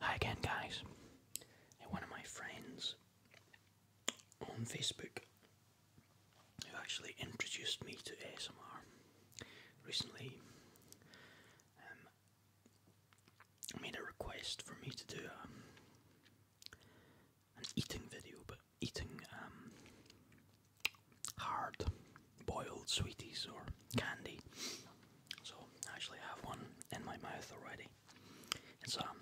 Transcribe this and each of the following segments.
Hi again, guys. One of my friends on Facebook who actually introduced me to ASMR recently um, made a request for me to do um, an eating video, but eating um, hard boiled sweeties or candy. So I actually have one in my mouth already. It's a um,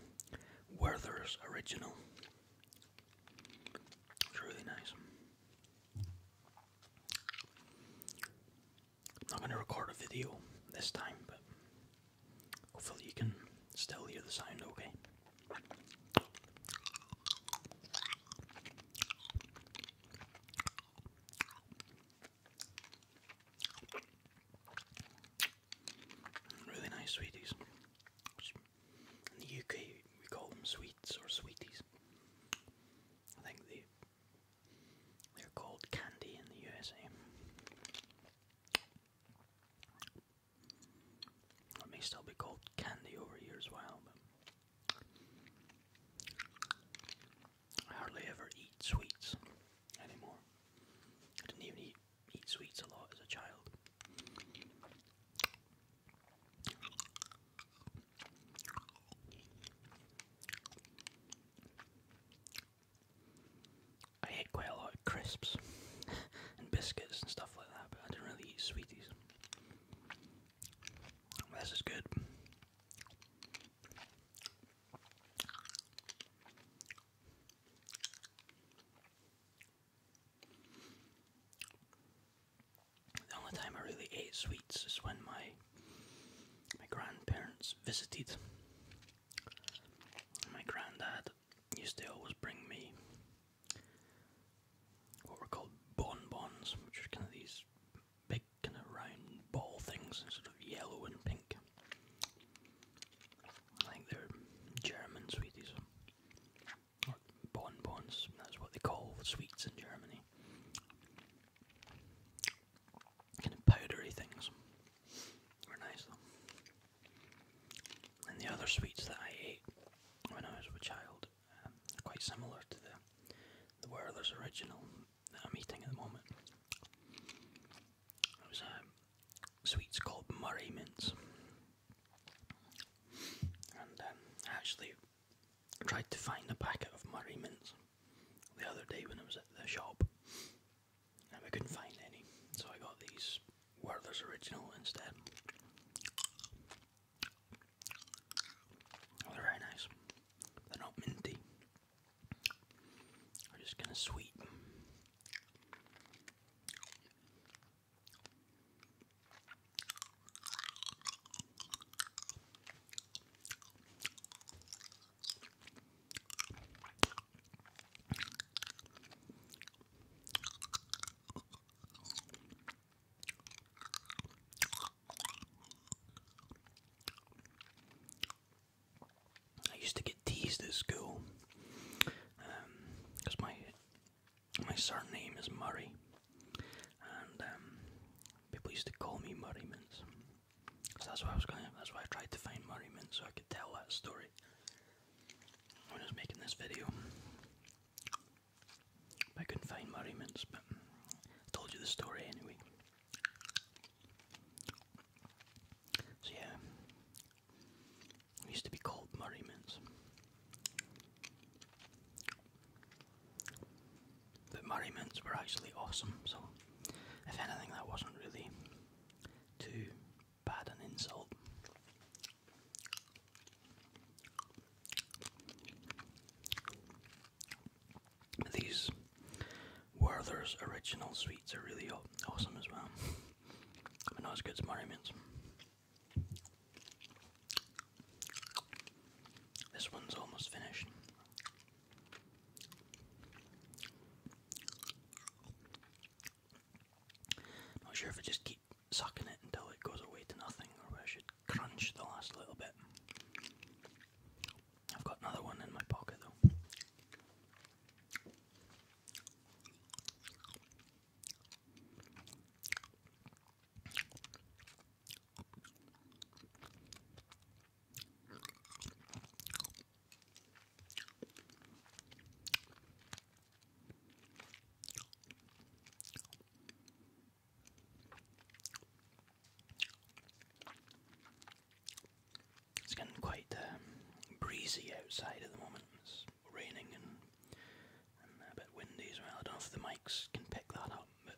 Werther's original. It's really nice. not going to record a video this time, but hopefully you can still hear the sound okay. Really nice sweeties. In the UK, we call them sweets or sweeties. I think they they're called candy in the USA. It may still be called candy over years while, but I hardly ever eat sweets anymore. I didn't even eat, eat sweets a lot as a child. I ate quite a lot of crisps and biscuits and stuff like that, but I didn't really eat sweeties. This is good. The only time I really ate sweets is when my my grandparents visited. My granddad used to always bring me what were called bonbons, which are kind of these big kind of round ball things, sort of yellow and pink. I think they're German sweeties. bonbons, that's what they call sweets in Germany. Kind of powdery things. Were nice though. And the other sweets that I ate when I was a child are um, quite similar to the, the Werther's original that I'm eating at the moment. It was um, sweets called Murray mints. And um, I actually tried to find a packet of Murray mints the other day when I was at the shop. And I couldn't find any, so I got these Werther's Original instead. they're very nice. They're not minty. We're just gonna sweeten. I used to get teased at school because um, my my surname is Murray, and um, people used to call me Murray Mince. So that's why I was going. That's why I tried to find Murray Mince so I could tell that story sorry. I was making this video. I couldn't find Murray mints, but I told you the story anyway. So yeah, it used to be called Murray mints. But Murray mints were actually awesome, so if anything that wasn't really too Pardon insult. These Werther's original sweets are really awesome as well. But not good as This one's almost finished. Not sure if I just keep sucking it until it goes away to nothing or I should crunch the last little bit. I've got another one in my pocket though. It's getting quite um, breezy outside at the moment. It's raining and, and a bit windy as well. I don't know if the mics can pick that up, but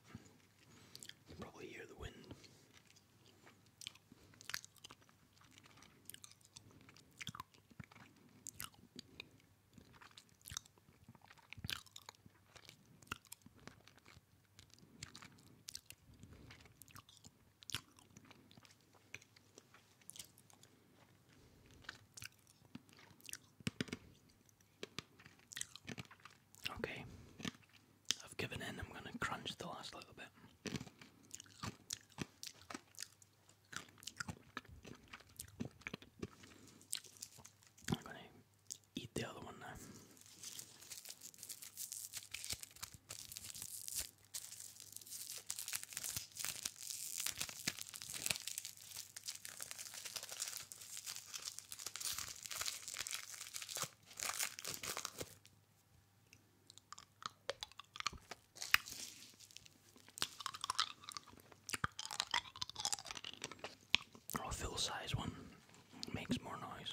you can probably hear the wind. Okay, I've given in, I'm going to crunch the last little bit. I'm gonna eat the other one now. I'll oh, fill size one, makes more noise.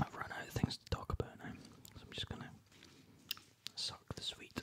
I've run out of things to talk about now, so I'm just gonna suck the sweet.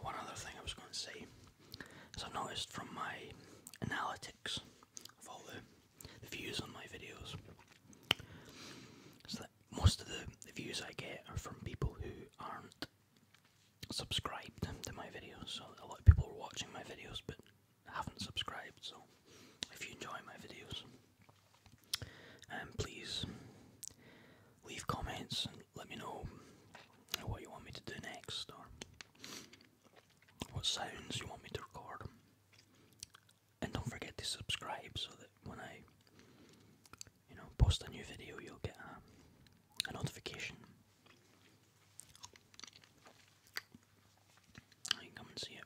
One other thing I was going to say is I noticed from my analytics of all the, views on my videos is that most of the views I get are from people who aren't subscribed to my videos. So a lot of people are watching my videos but haven't subscribed. So if you enjoy my videos, and um, please leave comments and let me know what you want me to do next or what sounds you want me to record. And don't forget to subscribe so that when I you know, post a new video, you'll get um, a, notification. I come and see it.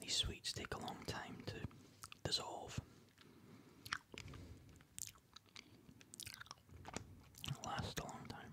These sweets take a long time to dissolve. It a long time.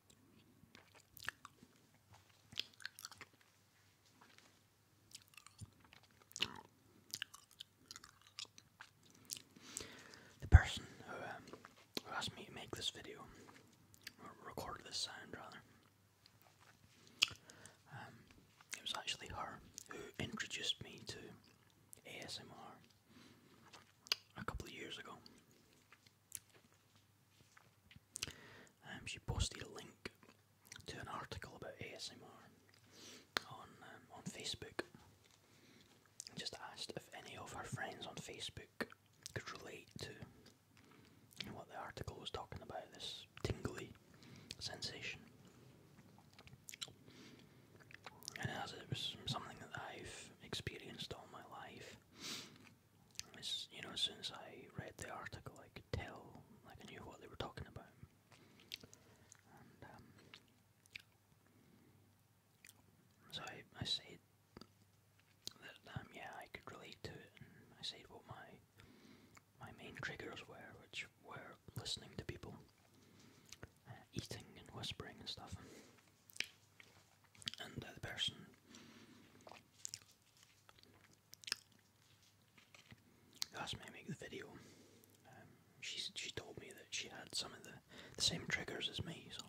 The person um, who, asked me to make this video, record this sound rather, um, it was actually her who introduced me to ASMR a couple of years ago. Um, she posted a link to an article about ASMR on um, on Facebook. And just asked if any of her friends on Facebook could relate to what the article was talking about this tingly sensation. And as it was something that I've experienced all my life, you know, as soon as I read the article, I could tell, like, I knew what they were talking about. Um, so I, I said that, um, yeah, I could relate to it, I said what my, my main triggers were, which were listening to people, uh, eating and whispering and stuff and the person asked me to make the video, um, she she told me that she had some of the, the same triggers as me, so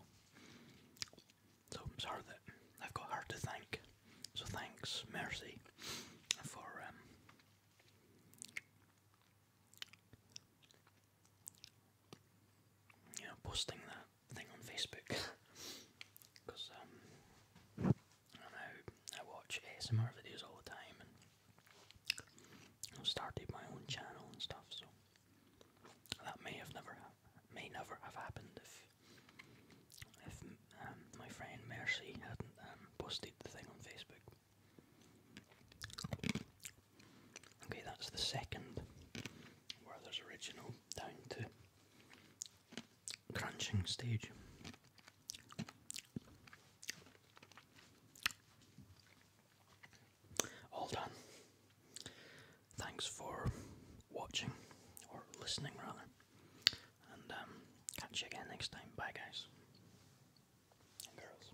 so it's her that I've got her to thank. So thanks, Mercy, for um, posting that thing on Facebook because um, I know I watch ASMR videos all the time and I started my own channel and stuff so that may have never may never have happened if if um, my friend Mercy hadn't um, posted the thing on Facebook. Okay, that's the second Where there's original down to crunching stage. All done. Thanks for watching, or listening rather, and um, catch you again next time. Bye, guys and girls.